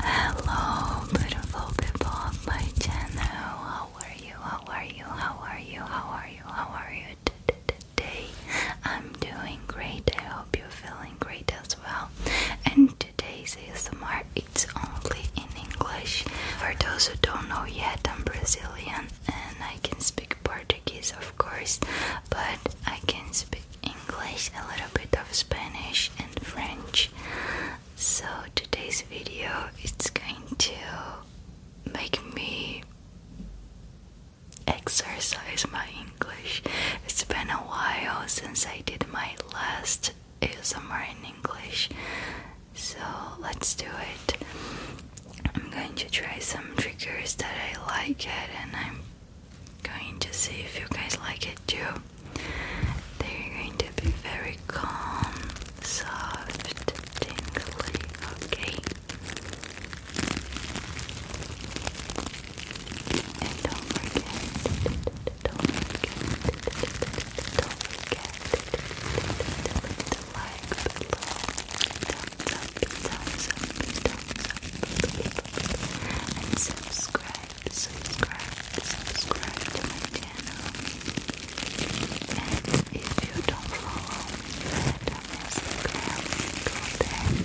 Hello, beautiful people of my channel. How are you? How are you? How are you? How are you? How are you today? I'm doing great. I hope you're feeling great as well. And today's ASMR it's only in English. For those who don't know yet, I'm Brazilian and I can speak Portuguese, of course, but I can speak. English, a little bit of Spanish and French. So today's video it's going to make me exercise my English. It's been a while since I did my last ASMR in English. So let's do it. I'm going to try some triggers that I like it and I'm going to see if you guys like it too. They're going to be very calm, soft, tingly, okay? And don't forget, don't forget, don't forget to like below, thumbs up, thumbs and subscribe subscribe, subscribe to my channel. And if you don't follow me yet on Instagram, go follow me on Instagram.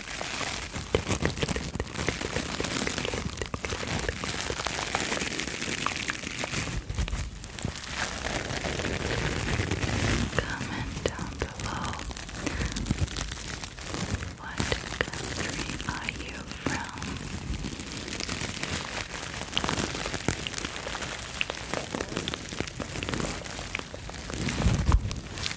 Comment down below. What country are you from?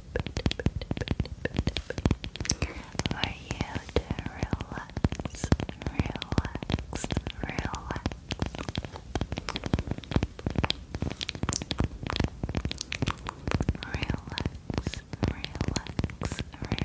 for you to relax, relax, relax. Relax, relax, relax.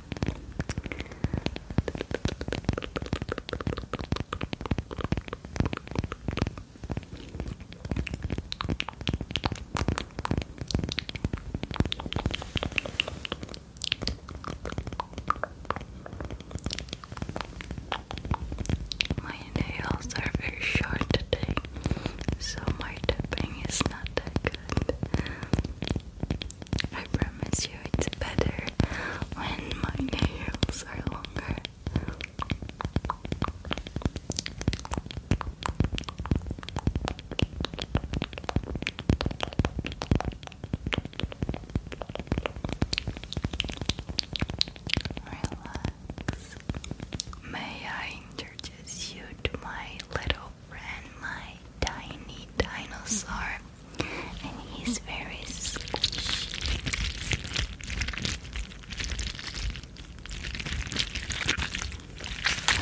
My nails are very short today, so my tapping is not that good. I promise you it's better when my nails are longer. Relax. May I introduce you to my little ran my tiny dinosaur, and he's very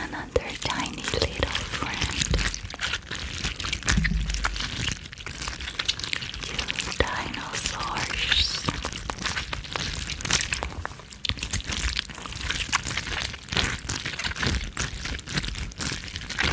another tiny little friend. You dinosaurs.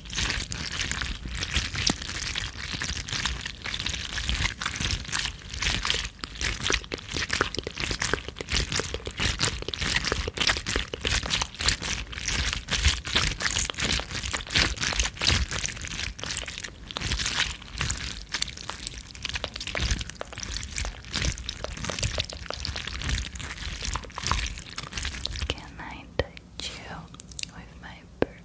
Can I touch you with my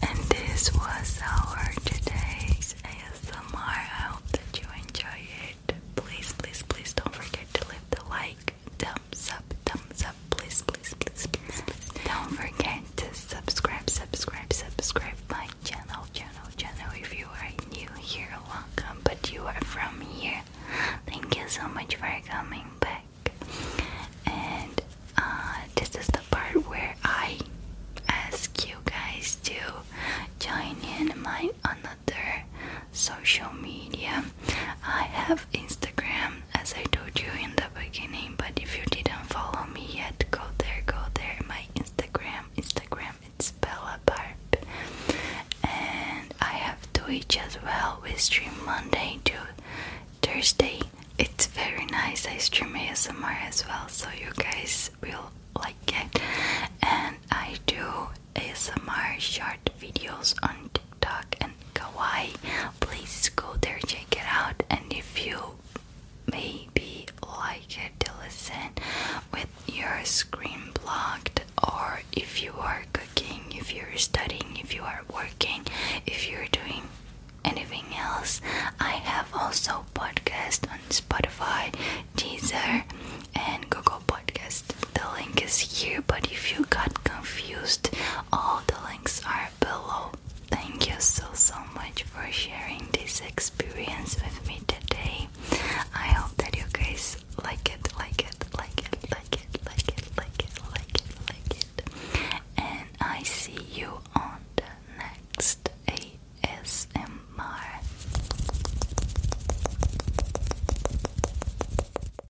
And this was our today's ASMR. I hope that you enjoy it. Please, please, please don't forget to leave the like thumbs up, thumbs up, please, please, please, please, please. Don't forget to subscribe, subscribe, subscribe my channel, channel, channel. If you are new here, welcome. But you are from here. Thank you so much for coming back. And uh, this is the part where I ask you guys to join in my another social media I have Instagram as I told you in the beginning, but if you didn't follow me yet, go there, go there. My Instagram, Instagram, it's Bella Barb. And I have Twitch as well. We stream Monday to Thursday. It's very nice. I stream ASMR as well, so you guys will like it. And I do ASMR short videos on TikTok and kawaii, please go there, check it out. And if you maybe like it to listen with your screen blocked, or if you are cooking, if you're studying, if you are working, if you're doing anything else, I have also podcast on Spotify, Deezer, and Google Podcast. The link is here, but if you got confused all the links are below. Thank you so so much for sharing this experience with me today. I hope that you guys like it, like it, like it, like it, like it, like it, like it, like it. And I see you on the next ASMR.